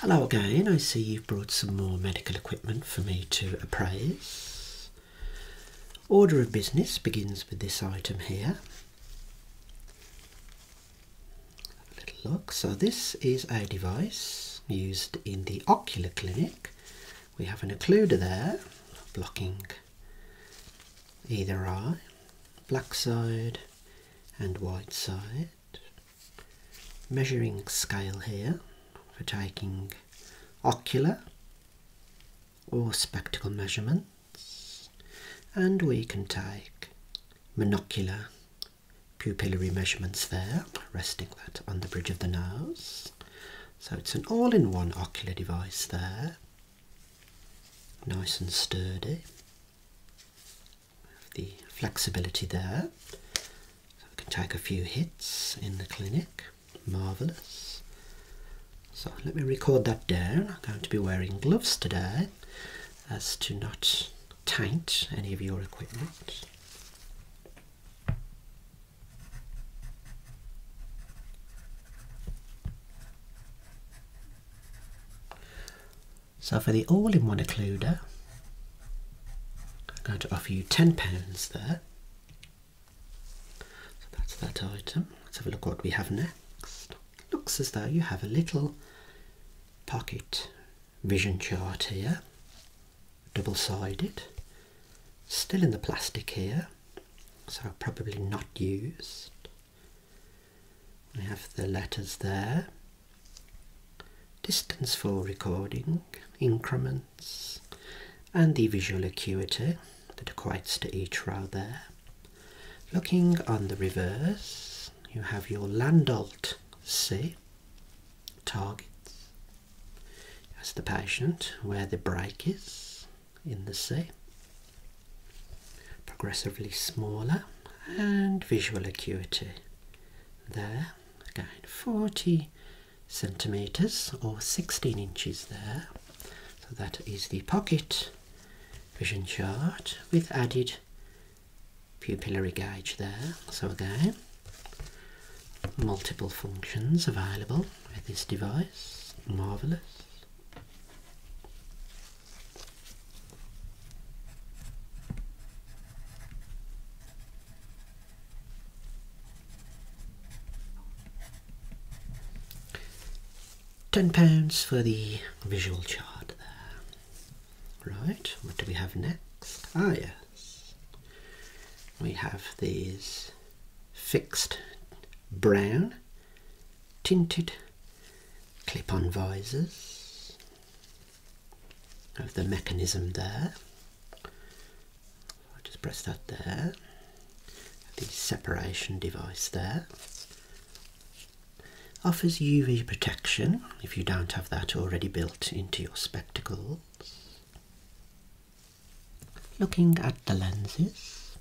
Hello again, I see you've brought some more medical equipment for me to appraise. Order of business begins with this item here look. So this is a device used in the ocular clinic. We have an occluder there, blocking either eye, black side and white side. Measuring scale here for taking ocular or spectacle measurements and we can take monocular pupillary measurements there, resting that on the bridge of the nose. So it's an all in one ocular device there, nice and sturdy. The flexibility there, so we can take a few hits in the clinic. Marvellous. So let me record that down. I'm going to be wearing gloves today as to not taint any of your equipment. So for the all-in-one occluder, I'm going to offer you £10 there. So that's that item. Let's have a look what we have next. Looks as though you have a little pocket vision chart here, double-sided, still in the plastic here, so probably not used. We have the letters there, distance for recording, increments, and the visual acuity that equates to each row there. Looking on the reverse, you have your Landolt C targets as the patient where the break is in the sea, progressively smaller, and visual acuity there again 40 centimeters or 16 inches there. So that is the pocket vision chart with added pupillary gauge there. So again, multiple functions available with this device. Marvellous. £10 for the visual chart there. Right, what do we have next? Ah, yes. We have these fixed brown tinted clip on visors of the mechanism there. I'll just press that there. The separation device there offers UV protection if you don't have that already built into your spectacles. Looking at the lenses.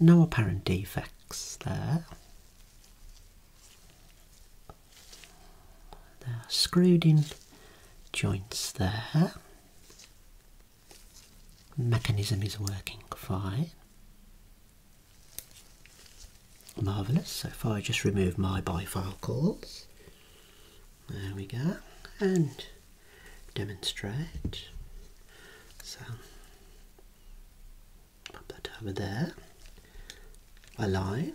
No apparent defects there. They're screwed in joints there. Mechanism is working fine. Marvellous, so far. I just remove my bifocal. calls, there we go, and demonstrate. So, pop that over there, align,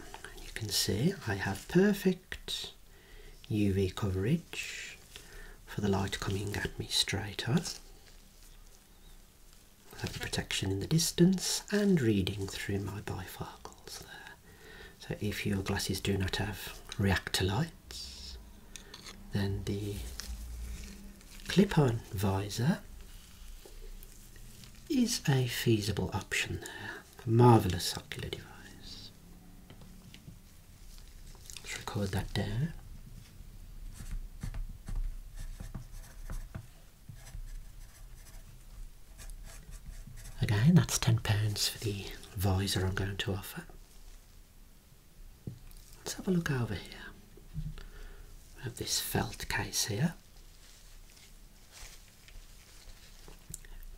you can see I have perfect UV coverage for the light coming at me straight on have the protection in the distance and reading through my bifocals there. So if your glasses do not have reactor lights, then the clip-on visor is a feasible option there. A marvellous ocular device. Let's record that there. Again, that's £10 for the visor I'm going to offer. Let's have a look over here. We have this felt case here.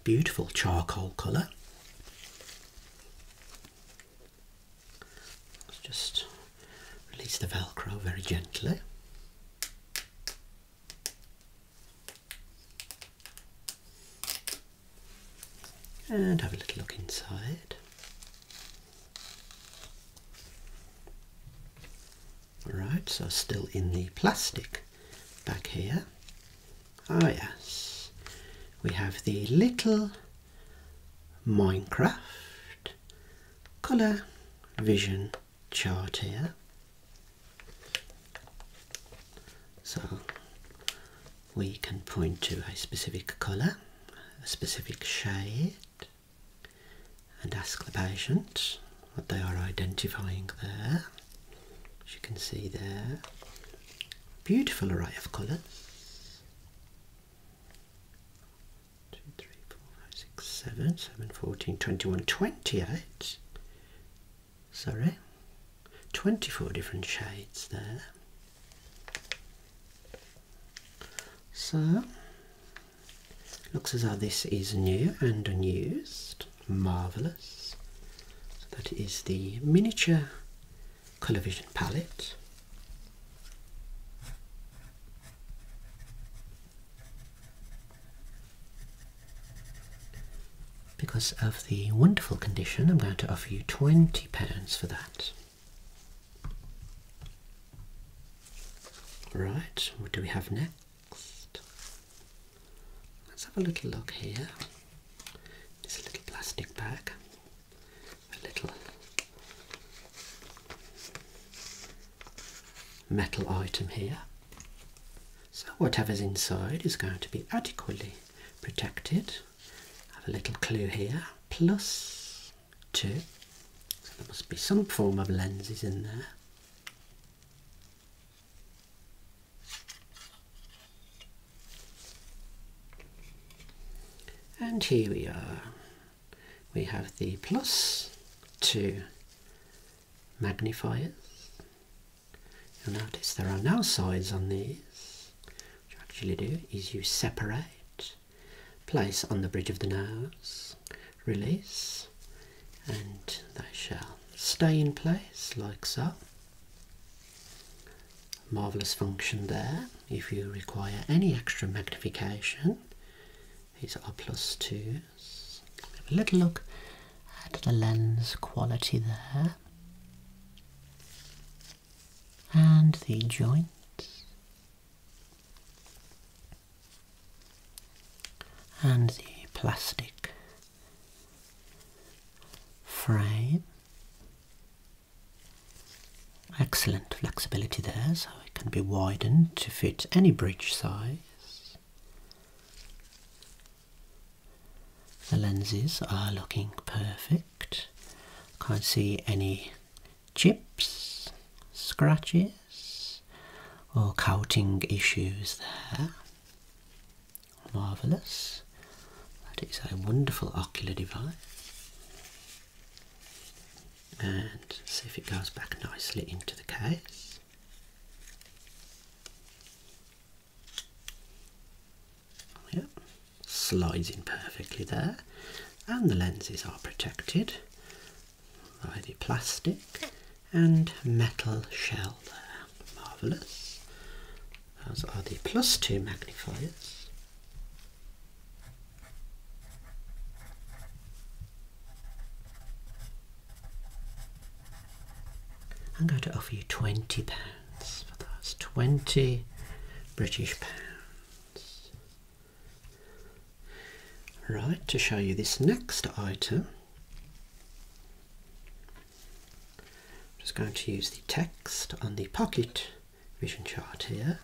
Beautiful charcoal colour. just Release the Velcro very gently. And have a little look inside. Alright, so still in the plastic back here. Oh yes, we have the little Minecraft colour vision chart here. So we can point to a specific colour, a specific shade, and ask the patient what they are identifying there. As you can see there, beautiful array of colours. 2, 7, 14, 21, 28. Sorry, 24 different shades there. So, looks as though this is new and unused. Marvellous. that is the miniature television palette. Because of the wonderful condition, I'm going to offer you £20 for that. Right, what do we have next? Let's have a little look here. This little plastic bag, a little metal item here. So whatever's inside is going to be adequately protected. Have a little clue here, plus two. So there must be some form of lenses in there. And here we are we have the plus two magnifiers. You'll notice there are no sides on these. What you actually do is you separate, place on the bridge of the nose, release, and they shall stay in place like so. Marvellous function there. If you require any extra magnification, these are plus plus twos. Have a little look at the lens quality there. And the joints. And the plastic frame. Excellent flexibility there, so it can be widened to fit any bridge size. The lenses are looking perfect. Can't see any chips, scratches, or coating issues there. Marvellous. That is a wonderful ocular device and see if it goes back nicely into the case. Yep, slides in perfectly there, and the lenses are protected by the plastic and metal shell Marvellous. Those are the plus two magnifiers. I'm going to offer you twenty pounds for that. Twenty British pounds. Right, to show you this next item. I'm just going to use the text on the pocket vision chart here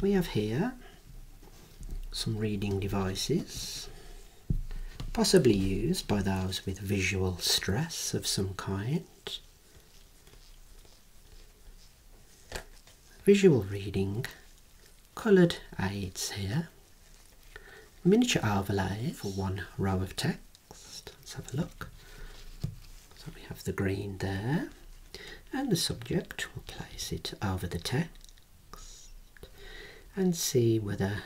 we have here some reading devices, possibly used by those with visual stress of some kind. Visual reading, coloured aids here, miniature overlay for one row of text. Let's have a look. So we have the green there, and the subject, we'll place it over the text and see whether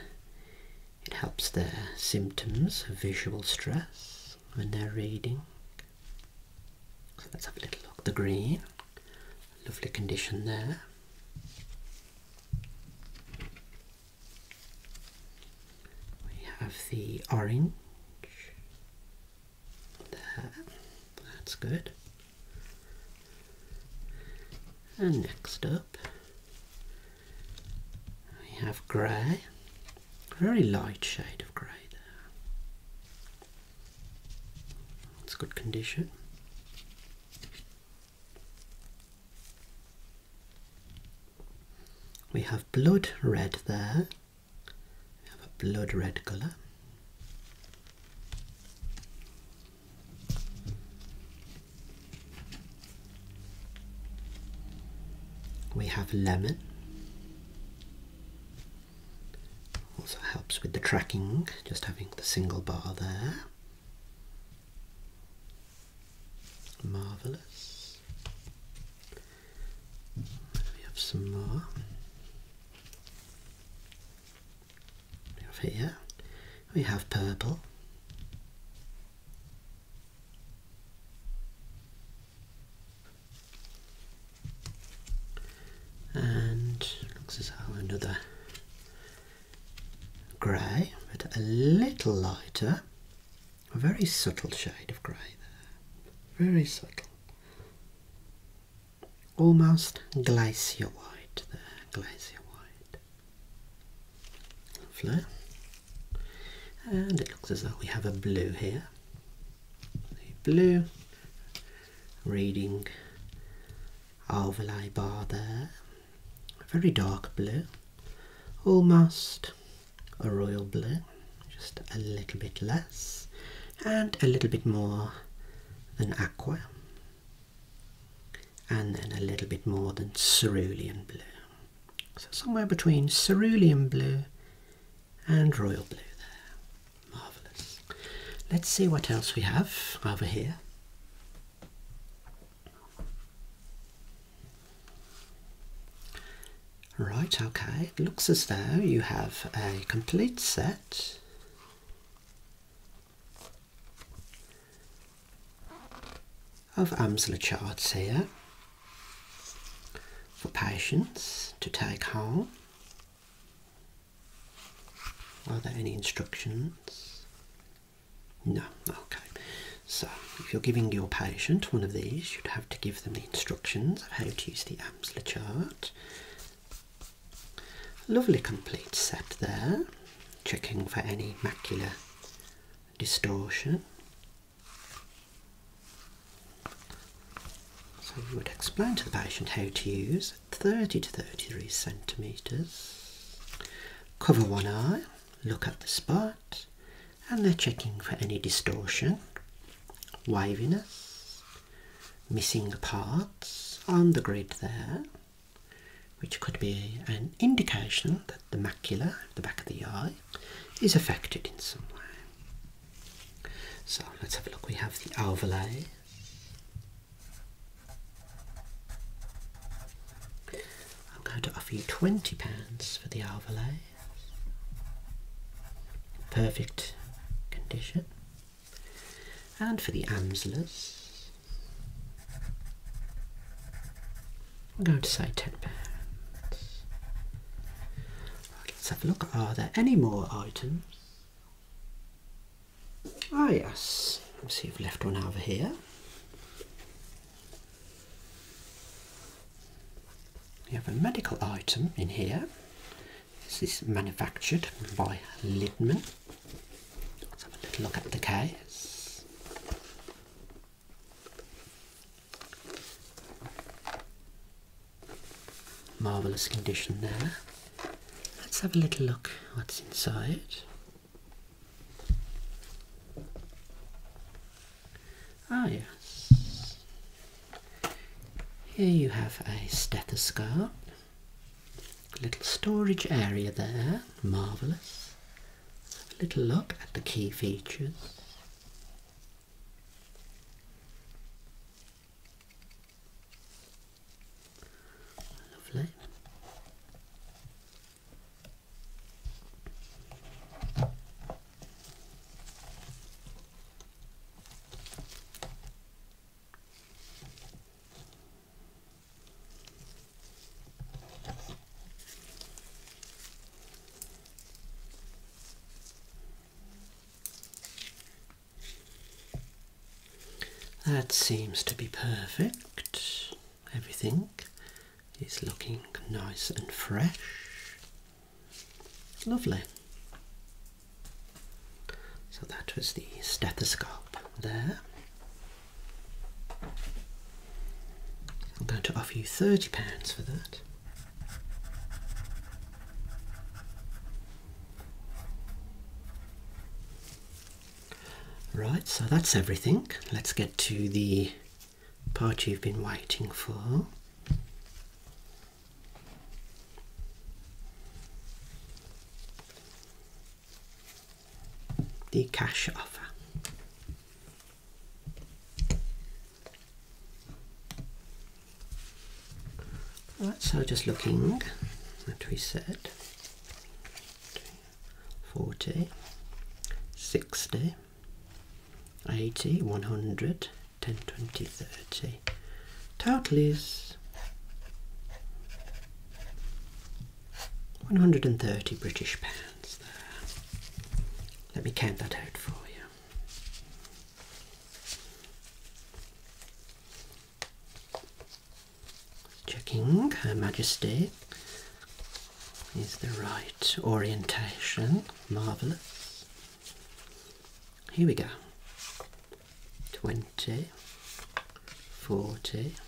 it helps their symptoms of visual stress when they're reading. So let's have a little look. The green, lovely condition there. We have the orange that's good. And next up, we have grey, very light shade of grey there. It's good condition. We have blood red there. We have a blood red colour. We have lemon. Also helps with the tracking, just having the single bar there. Marvellous. We have some more. Over here we have purple. And looks as though another grey, but a little lighter. A very subtle shade of grey there. Very subtle almost glacier white there, glacier white. Lovely. And it looks as though we have a blue here. The blue reading overlay bar there. very dark blue. Almost a royal blue. Just a little bit less. And a little bit more than aqua and then a little bit more than cerulean blue. So somewhere between cerulean blue and royal blue there. Marvellous. Let's see what else we have over here. Right, okay, it looks as though you have a complete set of Amsler charts here for patients to take home. Are there any instructions? No, okay. So, if you're giving your patient one of these, you'd have to give them the instructions of how to use the Amsler chart Lovely complete set there, checking for any macular distortion. So you would explain to the patient how to use 30 to 33 centimetres. Cover one eye, look at the spot, and they're checking for any distortion, waviness, missing parts on the grid there which could be an indication that the macula the back of the eye is affected in some way. So let's have a look. We have the overlay. I'm going to offer you £20 for the overlay. Perfect condition. And for the amsellers, I'm going to say £10. let's have a look. Are there any more items? Ah, yes. Let's see we've left one over here. We have a medical item in here. This is manufactured by Lidman. Let's have a little look at the case. Marvellous condition there. Let's have a little look what's inside. Ah, yes. Here you have a stethoscope. Little storage area there, marvellous. Have a little look at the key features. Lovely. That seems to be perfect. Everything is looking nice and fresh. Lovely. So that was the stethoscope there. I'm going to offer you £30 for that. Right, so that's everything. Let's get to the part you've been waiting for the cash offer. Right, so just looking at we said 40, 60, 80, 100, 10, 20, 30. Total is 130 British pounds there. Let me count that out for you. Checking Her Majesty is the right orientation. Marvellous. Here we go. 20, 40,